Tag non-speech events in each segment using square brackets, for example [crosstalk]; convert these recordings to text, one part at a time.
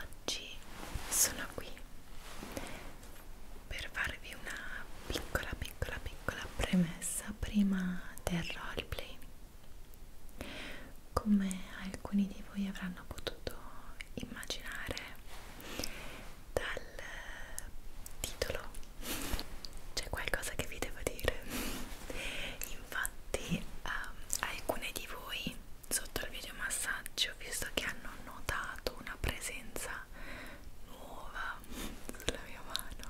oggi sono qui per farvi una piccola piccola piccola premessa prima del roleplay come alcuni di voi avranno potuto immaginare dal titolo c'è qualcosa che vi devo dire in infatti um, alcune di voi sotto il video massaggio visto che hanno notato una presenza nuova sulla mia mano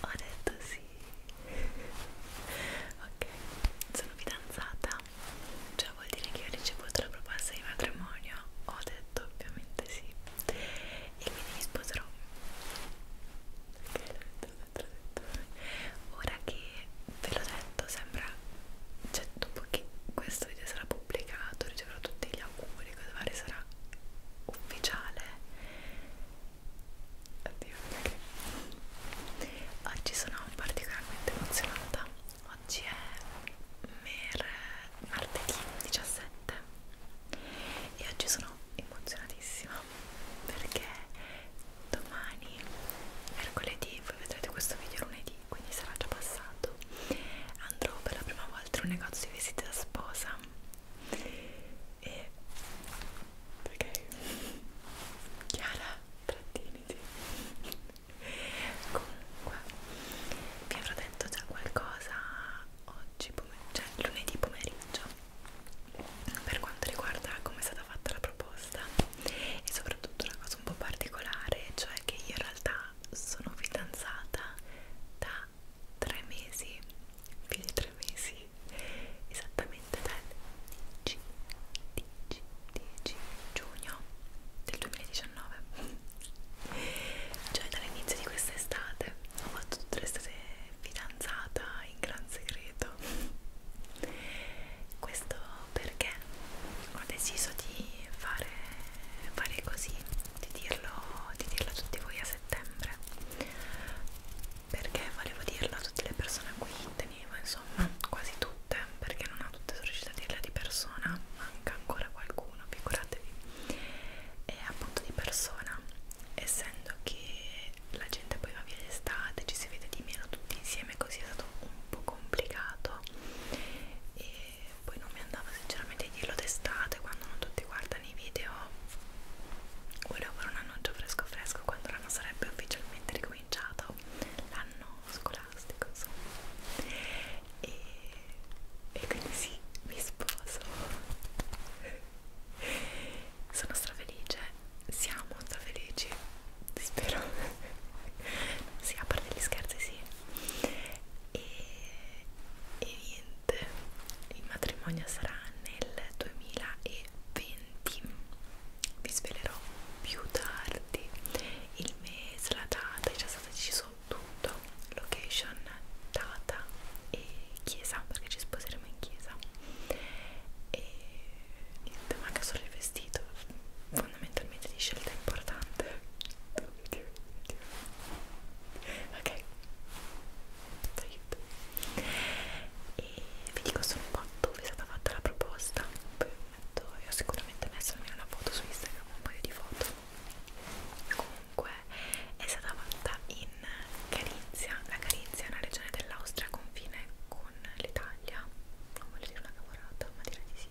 ho detto sì ok sono fidanzata cioè vuol dire che ho ricevuto la proposta di matrimonio ho detto ovviamente sì e me ne sposerò ora che ve l'ho detto sembra cioè dopo che questo video sarà pubblicato riceverò tutti gli auguri cosa fare sarà ufficiale Addio, okay. oggi sono particolarmente emozionata oggi è mer martedì 17 e oggi sono emozionatissima perché domani mercoledì voi vedrete questo video lunedì quindi sarà già passato andrò per la prima volta in un negozio di vestiti da sposa e perché Chiara tratteniti comunque vi avrò detto già qualcosa oggi pomeriggio, cioè lunedì pomeriggio per quanto riguarda come è stata fatta la proposta e soprattutto una cosa un po' particolare cioè che io in realtà sono fidanzata da tre mesi più di tre mesi esattamente dal 10, 10, 10 giugno del 2019 cioè dall'inizio di quest'estate ho fatto tutte le state fidanzata in gran segreto questo perché ho deciso di fare, fare così di dirlo, di dirlo a tutti voi a settembre perché volevo dirlo a tutte le persone a cui tenevo insomma quasi tutte perché non a tutte sono riuscita a dirla di persona manca ancora qualcuno figuratevi e appunto di persona essendo che la gente poi va via l'estate, ci si vede di meno tutti insieme, così è stato un po' complicato e poi non mi andava sinceramente a dirlo d'estate quando non tutti guardano i video volevo fare un annuncio fresco fresco quando l'anno sarebbe ufficialmente ricominciato l'anno scolastico insomma e, e quindi sì, mi sposo sono strafelice, siamo strafelici, spero sì, a parte gli scherzi sì e, e niente, il matrimonio sarà nel 2020 vi svelerò più tardi il mese, la data, è già stata decisa su tutto location, data e chiesa perché ci sposeremo in chiesa e niente manca solo il vestito fondamentalmente di scelta importante ok aiuto e vi dico solo un po' dove è stata fatta la proposta poi metto, e ho sicuramente messo almeno una foto su Instagram un paio di foto comunque è stata fatta in Carinzia. La Carinzia è una regione dell'Austria a confine con l'Italia. Non voglio dire una cavolata, ma direi di sì.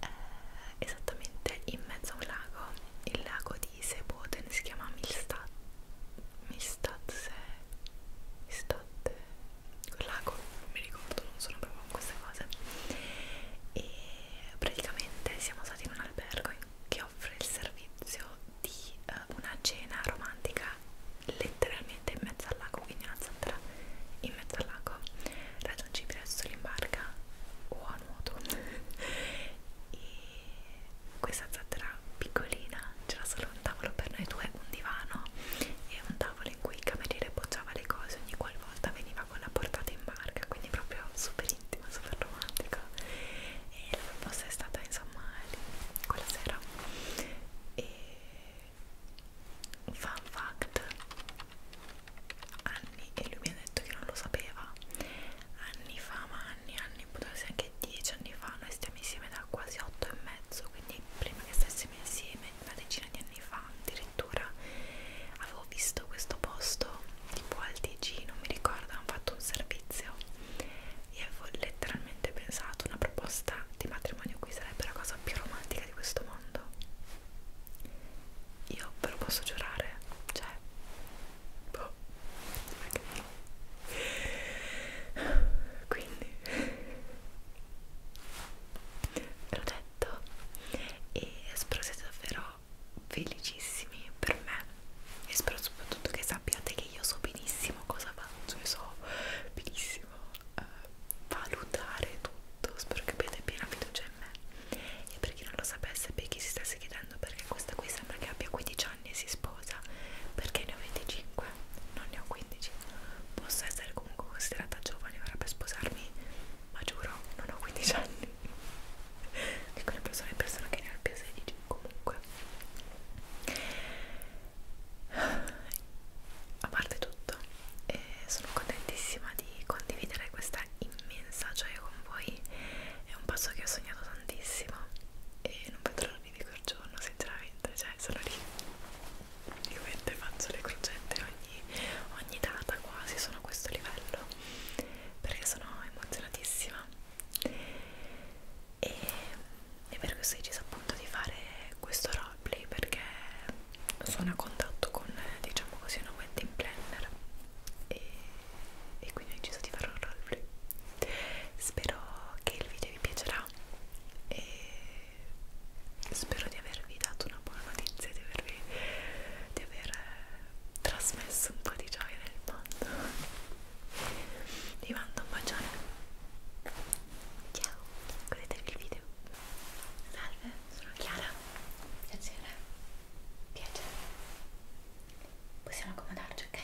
Eh, esattamente in mezzo a un lago, il lago di Seboten si chiama Milstad. Milstad se. Milstad. Quel lago, non mi ricordo, non sono proprio con queste cose. E praticamente siamo stati in un albergo che offre il servizio di uh, una cena romantica letteralmente in mezzo al lago, quindi una zattera in mezzo al lago, raggiungibile solo in barca o a nuoto. [laughs] e questa zattera piccolina c'era solo un tavolo per noi due, un divano e un tavolo in cui il cameriere poggiava le cose ogni qualvolta veniva con la portata in barca, quindi proprio super intimo romantica, super romantica e la proposta è stata insomma quella sera e fun fact anni e lui mi ha detto che non lo sapeva anni fa ma anni anni potrebbe essere anche 10 anni fa noi stiamo insieme da quasi 8 e mezzo quindi prima che stessimo insieme una decina di anni fa addirittura avevo visto questo posto tipo al TG, non mi ricordo, hanno fatto un servizio e avevo letteralmente pensato una proposta di matrimonio qui sarebbe la cosa più romantica di questo mondo. Io ve lo posso giurare, cioè... Boh, quindi [laughs] l'ho detto e spero siete davvero felicissimi per me e spero soprattutto che sappiate che io so benissimo cosa faccio e so benissimo eh, valutare tutto spero che abbiate piena fiducia in me e per chi non lo sapesse per chi si stesse chiedendo perché questa qui sembra che abbia 15 anni e si sposa perché ne ho 25 non ne ho 15 posso essere comunque considerata giovane ora per sposarmi ma giuro non ho 15 anni di quelle persone persone che ne hanno il piacere di comunque a parte tutto eh, sono contentissima di condividere questa immensa gioia con voi è un passo che ho sognato tantissimo e non vedo l'ora di quel giorno sinceramente cioè sono lì io faccio le crocette ogni, ogni data quasi sono a questo livello perché sono emozionatissima e, e per questo ho deciso appunto di fare questo roleplay perché sono a contatto con diciamo così una wedding planner e, e quindi ho deciso di fare un roleplay spero che il video vi piacerà e spero di avervi dato una buona notizia di avervi di aver trasmesso un po' di gioia nel mondo vi mando un bacione ciao godetevi il video salve sono Chiara piacere piacere possiamo accomodarci ok?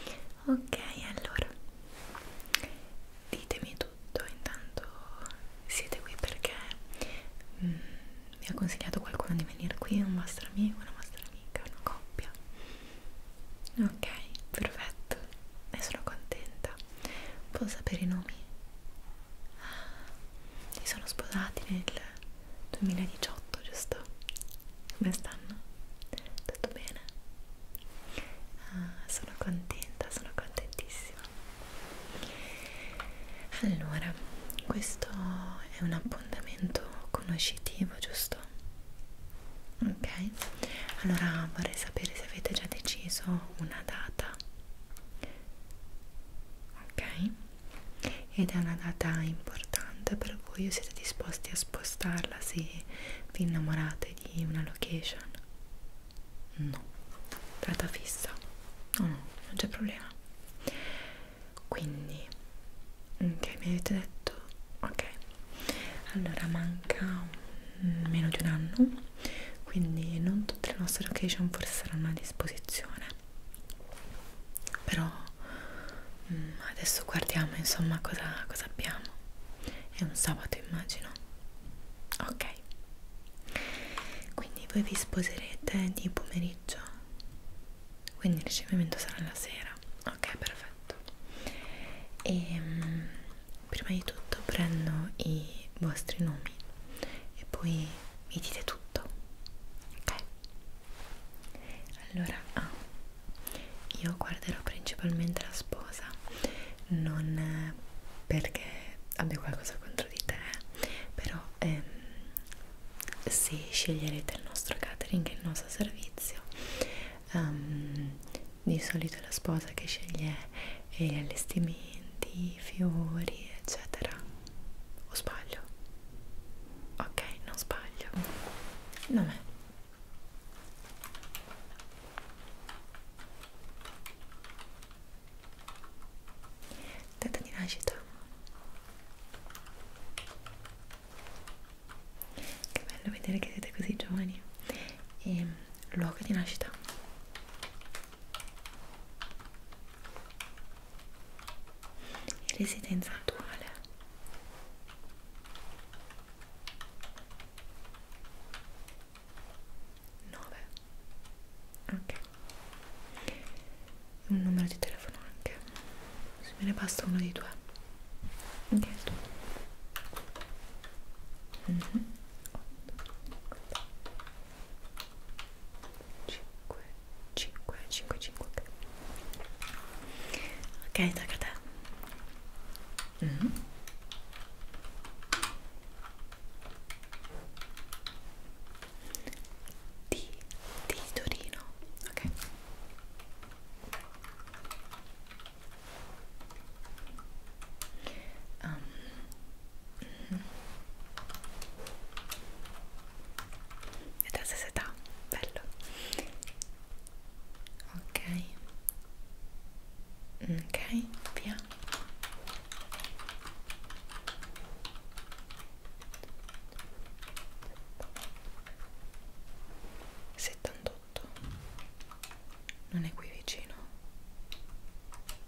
Bene. ok allora ditemi tutto intanto siete qui perché mm, mi ha consigliato qualcuno di venire qui, un vostro amico, una vostra amica, una coppia. Ok, perfetto, ne sono contenta. Posso sapere i nomi? Ah, si sono sposati nel 2018, giusto? Come stanno? Tutto bene? Ah, sono contenta, sono contentissima allora questo è un appuntamento conoscitivo giusto ok allora vorrei sapere se avete già deciso una data ok ed è una data importante per voi o siete disposti a spostarla se vi innamorate di una location no data fissa no no non c'è problema quindi ok mm, mi avete detto ok allora manca meno di un anno quindi non tutte le nostre location forse saranno a disposizione però mm, adesso guardiamo insomma cosa, cosa abbiamo è un sabato immagino ok quindi voi vi sposerete di pomeriggio quindi il ricevimento sarà la sera ok perfetto e um, prima di tutto prendo i vostri nomi e poi mi dite tutto ok allora ah, io guarderò principalmente la sposa non perché abbia qualcosa contro di te eh, però ehm, se sceglierete il nostro catering e il nostro servizio um, di solito è la sposa che sceglie eh, gli allestimenti, i fiori eccetera o sbaglio? ok, non sbaglio non è data di nascita che bello vedere che siete così giovani e ehm, luogo di nascita e residenza attuale Nove. ok un numero di telefono anche se me ne basta uno di due anche il tuo mm -hmm. 5 5 5 5 ok tocca a te mm -hmm di, di Torino, ok? Um, ehm, mm -hmm. E da se età, bello Ok Ok, via 78 non è qui vicino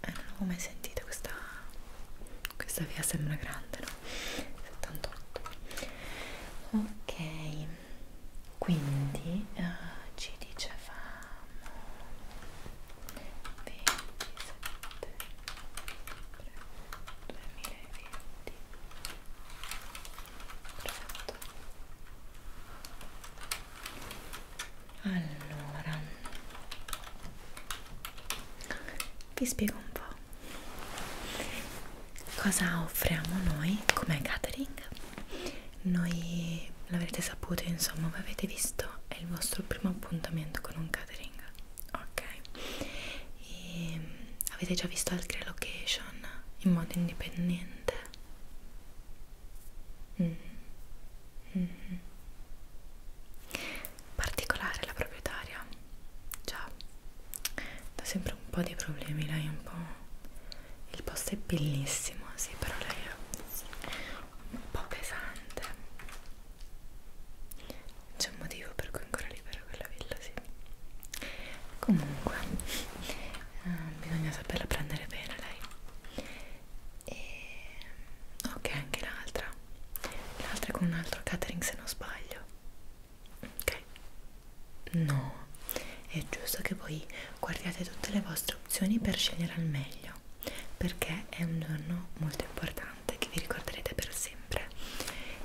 eh, non l'avevo mai sentita questa questa via sembra grande no? 78 ok quindi uh, ci dicevamo 27 2020 Perfetto. allora vi spiego un po' cosa offriamo noi come catering noi l'avrete saputo insomma voi avete visto è il vostro primo appuntamento con un catering ok e ehm, avete già visto altre location in modo indipendente mm. Mm -hmm. particolare la proprietaria già dà sempre un po' di problemi lei è un po' il posto è bellissimo sì però lei è un po' pesante c'è un motivo per cui è ancora libera quella villa, sì. Comunque, eh, bisogna saperla prendere bene lei. E... Ok, anche l'altra. L'altra è con un altro catering, se non sbaglio. Ok. No, è giusto che voi guardiate tutte le vostre opzioni per scegliere al meglio perché è un giorno molto importante importante che vi ricorderete per sempre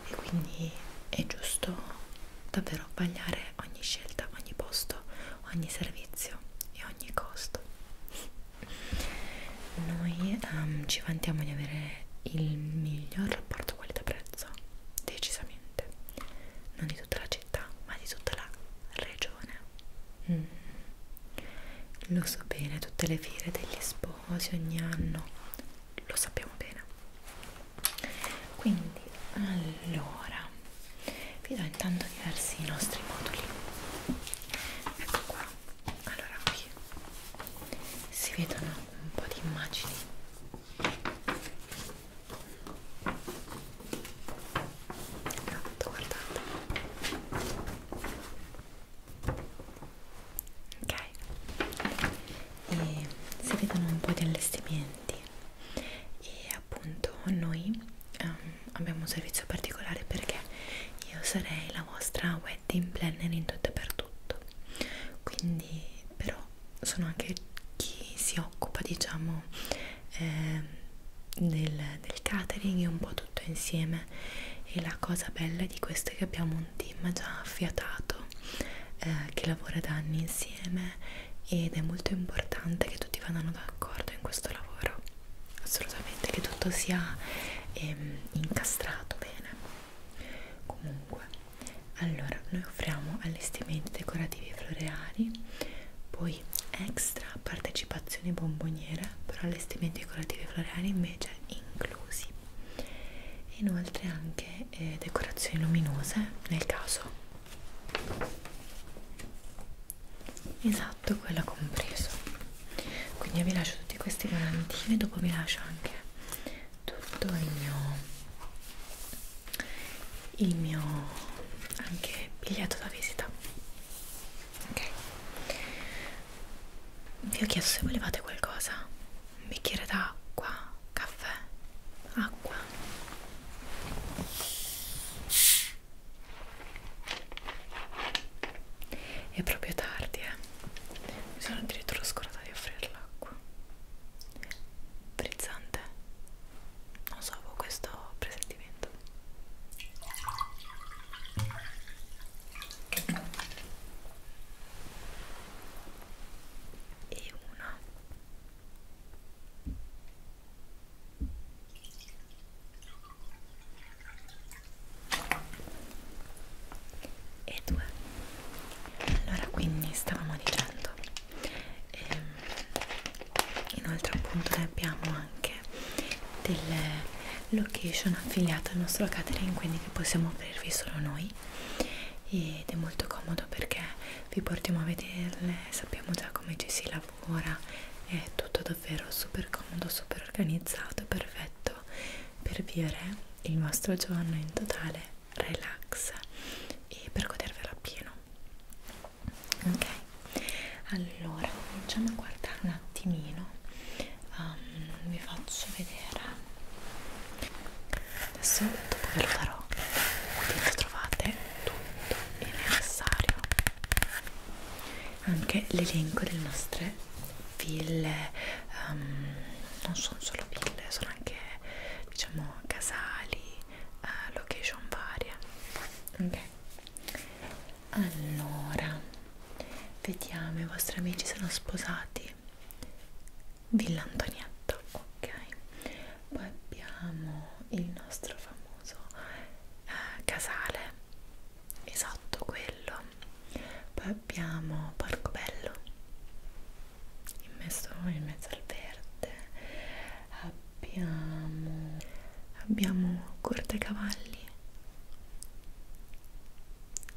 e quindi è giusto davvero vagliare ogni scelta, ogni posto, ogni servizio e ogni costo. Noi um, ci vantiamo di avere il miglior rapporto qualità-prezzo, decisamente, non di tutta la città, ma di tutta la regione. Mm. Lo so bene, tutte le fiere degli sposi ogni anno, lo sappiamo bene quindi allora vi do intanto diversi nostri moduli ecco qua allora qui si vedono un po' di immagini esatto guardate ok e si vedono un po' di allestimenti e appunto noi um, abbiamo un servizio particolare perché io sarei la vostra wedding planner in tutto e per tutto quindi però sono anche chi si occupa diciamo eh, del, del catering e un po' tutto insieme e la cosa bella di questo è che abbiamo un team già affiatato eh, che lavora da anni insieme ed è molto importante che tutti vadano d'accordo in questo lavoro assolutamente che tutto sia ehm, incastrato bene comunque allora noi offriamo allestimenti decorativi floreali poi extra partecipazioni bomboniere però allestimenti decorativi floreali invece inclusi inoltre anche eh, decorazioni luminose nel caso esatto quella compreso quindi vi lascio tutti questi volantini e dopo vi lascio anche tutto il mio il mio anche biglietto da visita ok vi ho chiesto se volevate qualcosa un bicchiere d'acqua, caffè, acqua è proprio tardi eh mi sono addirittura scordata di offrire l'acqua frizzante non so avevo questo presentimento e una e due allora quindi stavamo dicendo ehm, inoltre appunto ne abbiamo anche delle location affiliate al nostro catering quindi che possiamo offrirvi solo noi ed è molto comodo perché vi portiamo a vederle, sappiamo già come ci si lavora, è tutto davvero super comodo, super organizzato, perfetto per vivere il vostro giorno in totale relax e per godervelo appieno. Ok, allora cominciamo a guardare un attimino um, vi faccio vedere adesso dopo ve lo farò dentro trovate tutto il necessario anche l'elenco delle nostre ville um, non sono solo ville sono anche diciamo casali uh, location varie ok allora vediamo i vostri amici sono sposati Villa Antonietta, ok. Poi abbiamo il nostro famoso eh, casale, esatto quello. Poi abbiamo Porcobello, immesso in mezzo al verde. Abbiamo, abbiamo Corte Cavalli.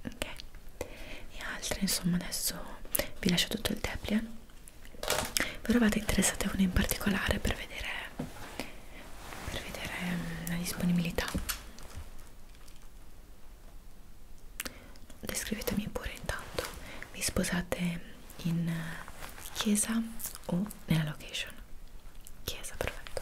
Ok, e altre insomma adesso vi lascio tutto il Deplian però eravate interessati a uno in particolare per vedere per vedere mm, la disponibilità descrivetemi pure intanto vi sposate in chiesa o nella location chiesa perfetto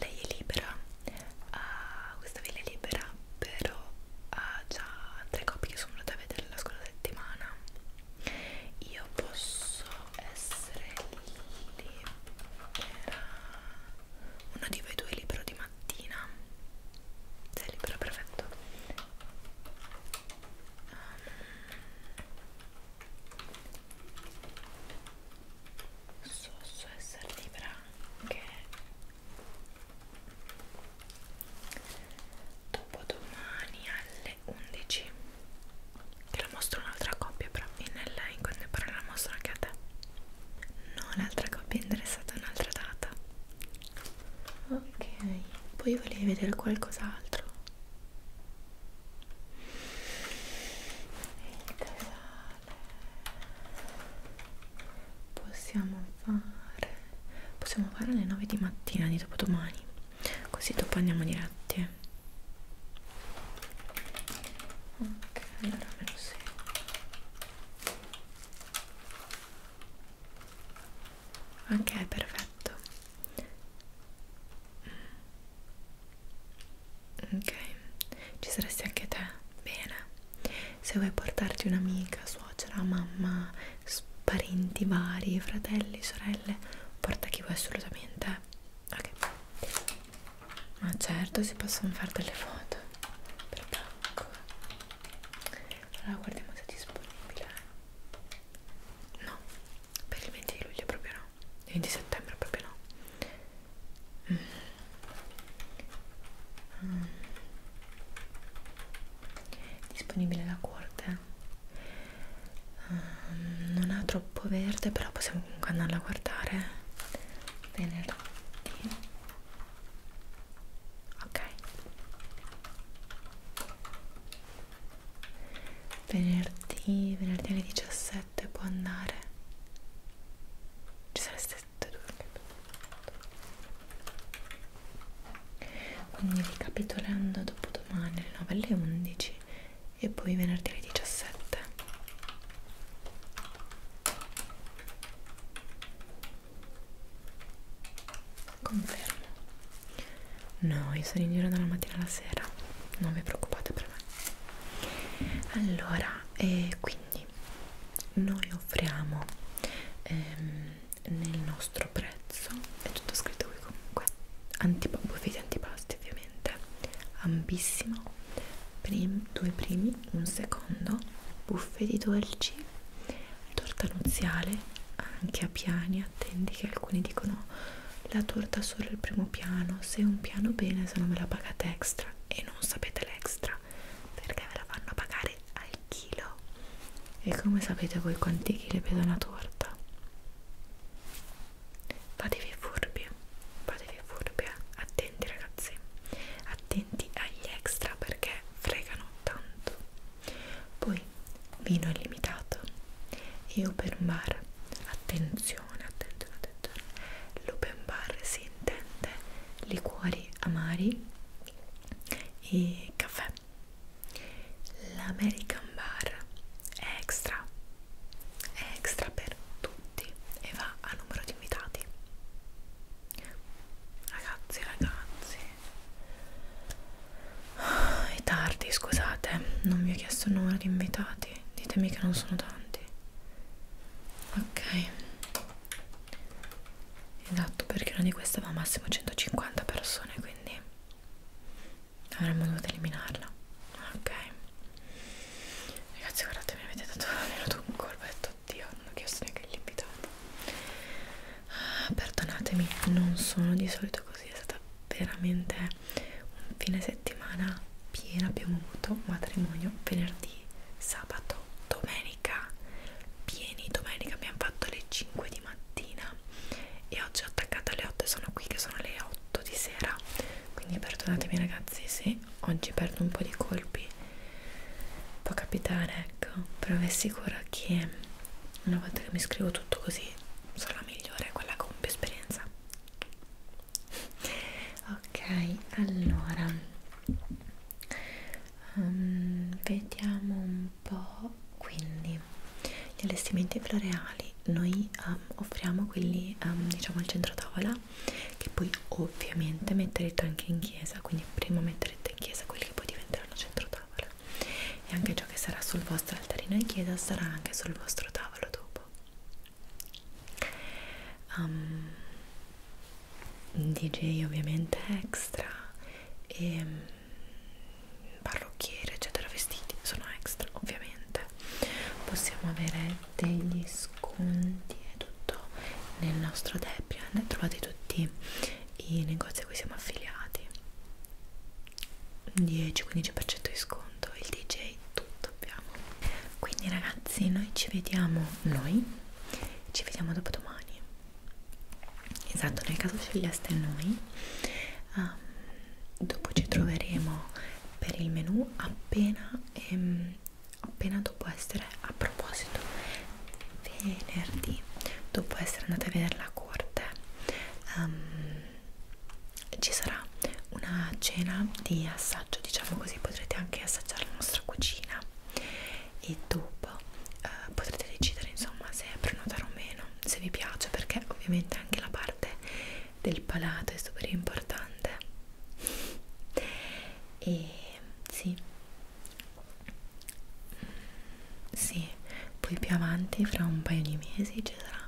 Lei è libera, uh, questa villa è libera, però ha già tre coppie che sono andate a vedere la scorsa settimana. Io posso essere libera, uno di voi due è libero di mattina. Sei libero, perfetto. Um, so, so essere libera anche dopodomani alle 11 te la mostro un'altra coppia però in, in quelle parole la mostro anche a te no l'altra coppia è interessata a un'altra data ok poi volevi vedere qualcos'altro il casale possiamo fare possiamo fare alle 9 di mattina di dopodomani così dopo andiamo diretti ok allora me lo segno ok perfetto ok ci saresti anche te bene se vuoi portarti un'amica suocera mamma parenti vari fratelli sorelle porta chi vuoi assolutamente ok ma certo si possono fare delle foto per tacco allora guardiamo se è disponibile no per il 20 di luglio proprio no il 20 settembre proprio no mm. Mm. disponibile la corte um, non ha troppo verde però possiamo comunque andarla a guardare venerdì ok venerdì, venerdì alle 17 può andare ci sareste tutte due quindi ricapitolando dopo domani alle 9 alle 11 e poi venerdì alle 17 confermo no io sono in giro dalla mattina alla sera non vi preoccupate per me allora eh, quindi noi offriamo ehm, nel nostro prezzo è tutto scritto qui comunque antipop buffet antipasti ovviamente ampissimo prim, due primi un secondo buffet di dolci torta nuziale anche a piani attendi che alcuni dicono la torta solo il primo piano se un piano bene se non me la pagate extra e non sapete l'extra perché ve la fanno pagare al chilo e come sapete voi quanti chili pesa una torta fatevi furbi fatevi furbi eh. attenti ragazzi attenti agli extra perché fregano tanto poi poi vino illimitato e open bar attenzione attenzione attenzione l'open bar si intende liquori amari e caffè l'american bar è extra è extra per tutti e va a numero di invitati ragazzi ragazzi è tardi, scusate, non vi ho chiesto il numero di invitati. Ditemi che non sono tanti. Ok. Esatto, perché una di queste va massimo 150 persone, quindi avremmo dovuto eliminarla. Ok. Ragazzi, guardate, mi avete dato venuto un colpo, ho detto oddio, non ho chiesto neanche gli invitati. Ah, perdonatemi, non sono di solito così, è stata veramente un fine settimana pieno abbiamo avuto matrimonio venerdì, sabato, domenica pieni domenica abbiamo fatto le 5 di mattina e oggi ho attaccato alle 8 e sono qui che sono le 8 di sera quindi perdonatemi ragazzi se oggi perdo un po' di colpi può capitare ecco però vi assicuro che una volta che mi scrivo tutto così sarà migliore quella con più esperienza ok allora um, vediamo un po' quindi gli allestimenti floreali noi um, offriamo quelli um, diciamo al centro tavola che poi ovviamente metterete anche in chiesa quindi prima metterete in chiesa quelli che poi diventeranno centro tavola e anche ciò che sarà sul vostro altarino in chiesa sarà anche sul vostro tavolo dopo um, ehm, DJ ovviamente extra e ehm, parrucchiere eccetera vestiti sono extra ovviamente possiamo avere degli sconti e tutto nel nostro Debian trovate tutti i negozi a cui siamo affiliati 10-15% di sconto il DJ tutto abbiamo quindi ragazzi noi ci vediamo noi ci vediamo dopo domani esatto nel caso sceglieste noi um, dopo ci troveremo per il menu appena ehm, appena dopo essere a proposito venerdì dopo essere andata a vedere la corte um, ci sarà una cena di assaggio diciamo così potrete anche assaggiare la nostra cucina e dopo eh, potrete decidere insomma se prenotare o meno se vi piace perché ovviamente anche la parte del palato è super importante e sì mm, sì poi più avanti fra un paio di mesi ci sarà sarà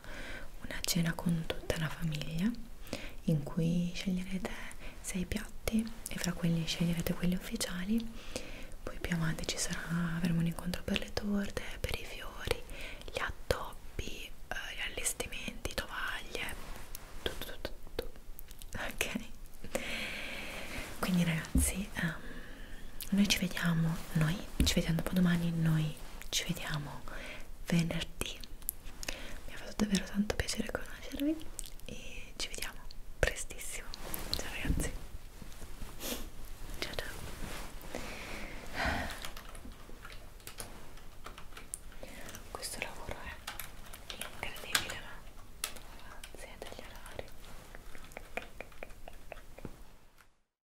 una cena con tutta la famiglia in cui sceglierete sei piatti e fra quelli sceglierete quelli ufficiali poi più avanti ci sarà avremo un incontro per le torte per i fiori gli addobbi eh, gli allestimenti tovaglie tutto tutto, tutto. ok quindi ragazzi um, noi ci vediamo noi ci vediamo dopo domani noi noi ci vediamo venerdì mi ha fatto davvero tanto piacere conoscervi e ci vediamo prestissimo ciao ragazzi ciao ciao questo lavoro è incredibile ma grazie degli orari